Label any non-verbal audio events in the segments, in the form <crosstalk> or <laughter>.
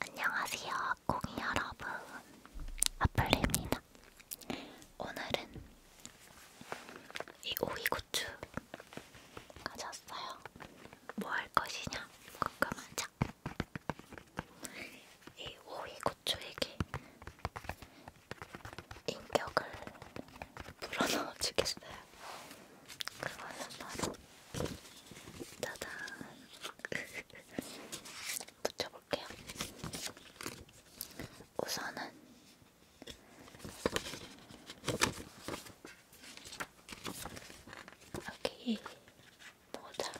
안녕하세요, 공이 여러분. 아플입니다. 오늘은 이 오이고추가 졌어요. 뭐 할 것이냐? 궁금하죠? 이 오이고추에게 인격을 <laughs> 불어넣어 주겠어요. 그거는 바로 짜잔. <laughs> 붙여볼게요. 우선은 여기 모자.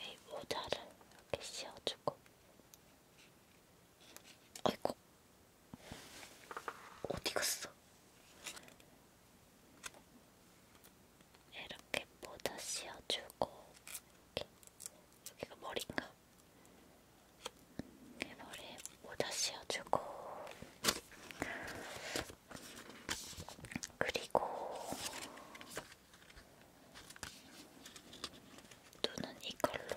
이 모자를 이렇게 씌워주고. 아이고, 어디 갔어? 이렇게 모자 씌워주고 이렇게 여기가 머리인가? 이렇게 머리에 모자 씌워주고 그리고 눈은 이걸로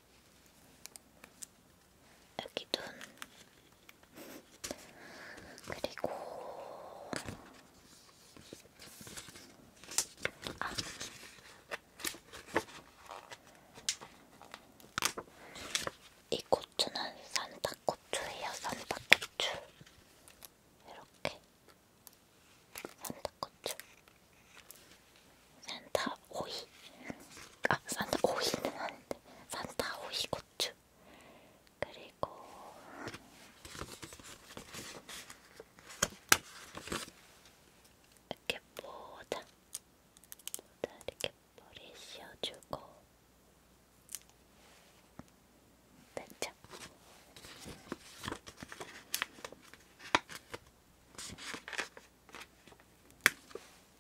여기 눈 그리고 아. 이 고추는 산타고추예요. 산타고추 이렇게 산타고추 산타 오이 아 산타 오이는 아닌데 산타 오이 고추 그리고 이렇게 모자 모자 이렇게 머리에 씌워주고 됐죠?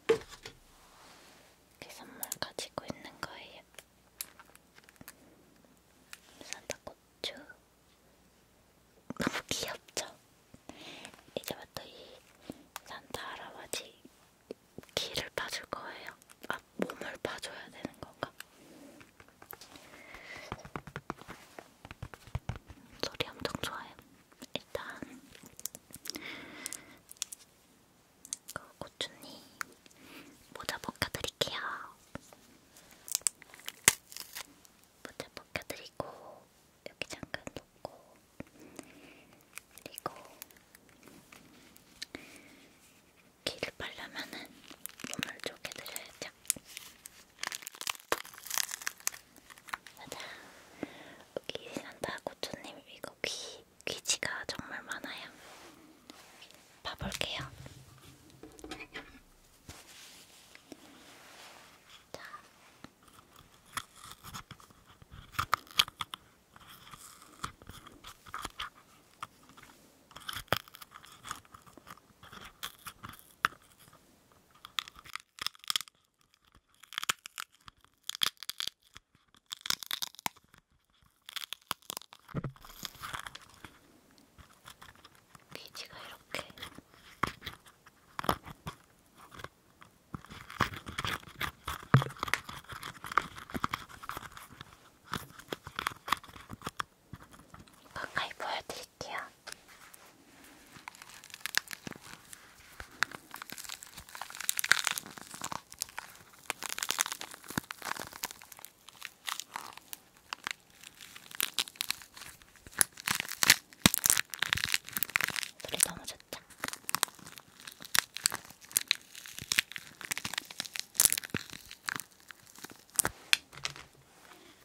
이렇게 선물 가지고 있는 거예요. 산타고추 너무 귀엽죠? 이제부터 이 산타 할아버지 귀를 파줄 거예요. 아, 몸을 파줘야 되는 건가? 소리 엄청 좋아요. 일단 그 고추님 모자 벗겨드릴게요. 모자 벗겨드리고 여기 잠깐 놓고 그리고 귀를 빨려면은 눈을 쪼개드려야죠. 맞아. 여기 산타 고추님 이거 귀 귀지가 정말 많아요. 봐볼게요. 자. 귀지가 이렇게 가까이 보여드릴게요. 소리 너무 좋다.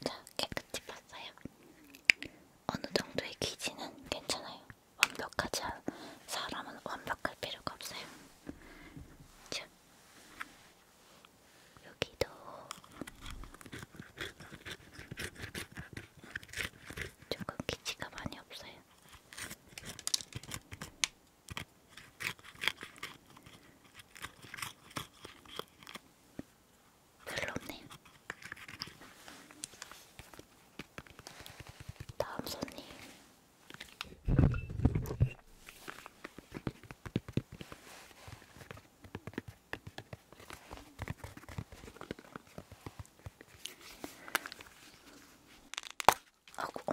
자, 깨끗이 봤어요. 어느 정도의 기지는 괜찮아요. 완벽하지 않, 사람은 완벽할 필요가 없어요. 자, 여기도 조금 기치가 많이 없어요. 별로 없네요. 다음 손님 아고.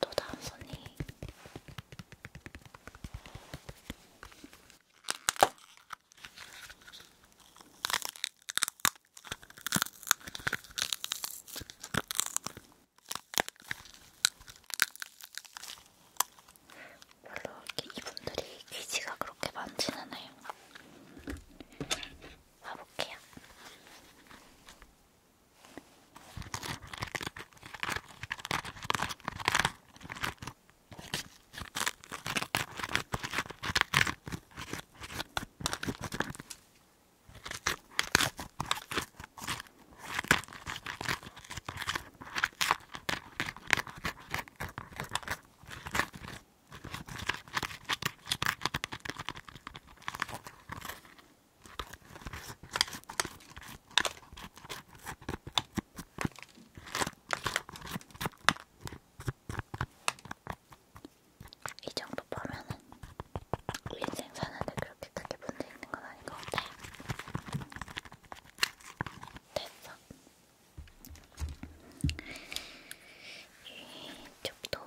또 다음 손님. 별로 이분들이 귀지가 그렇게 많지는 않아요. 와볼게요. 이 정도 보면은 인생 사는데 그렇게 크게 문제 있는 건 아닌 것 같아요. 됐어. 이쪽도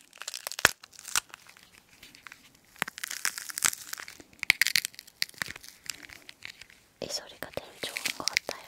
이 소리가 제일 좋은 것 같아요.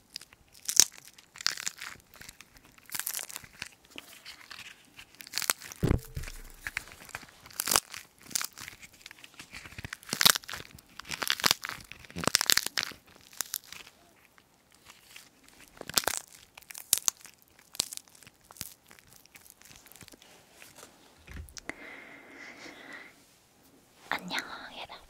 안녕 여러분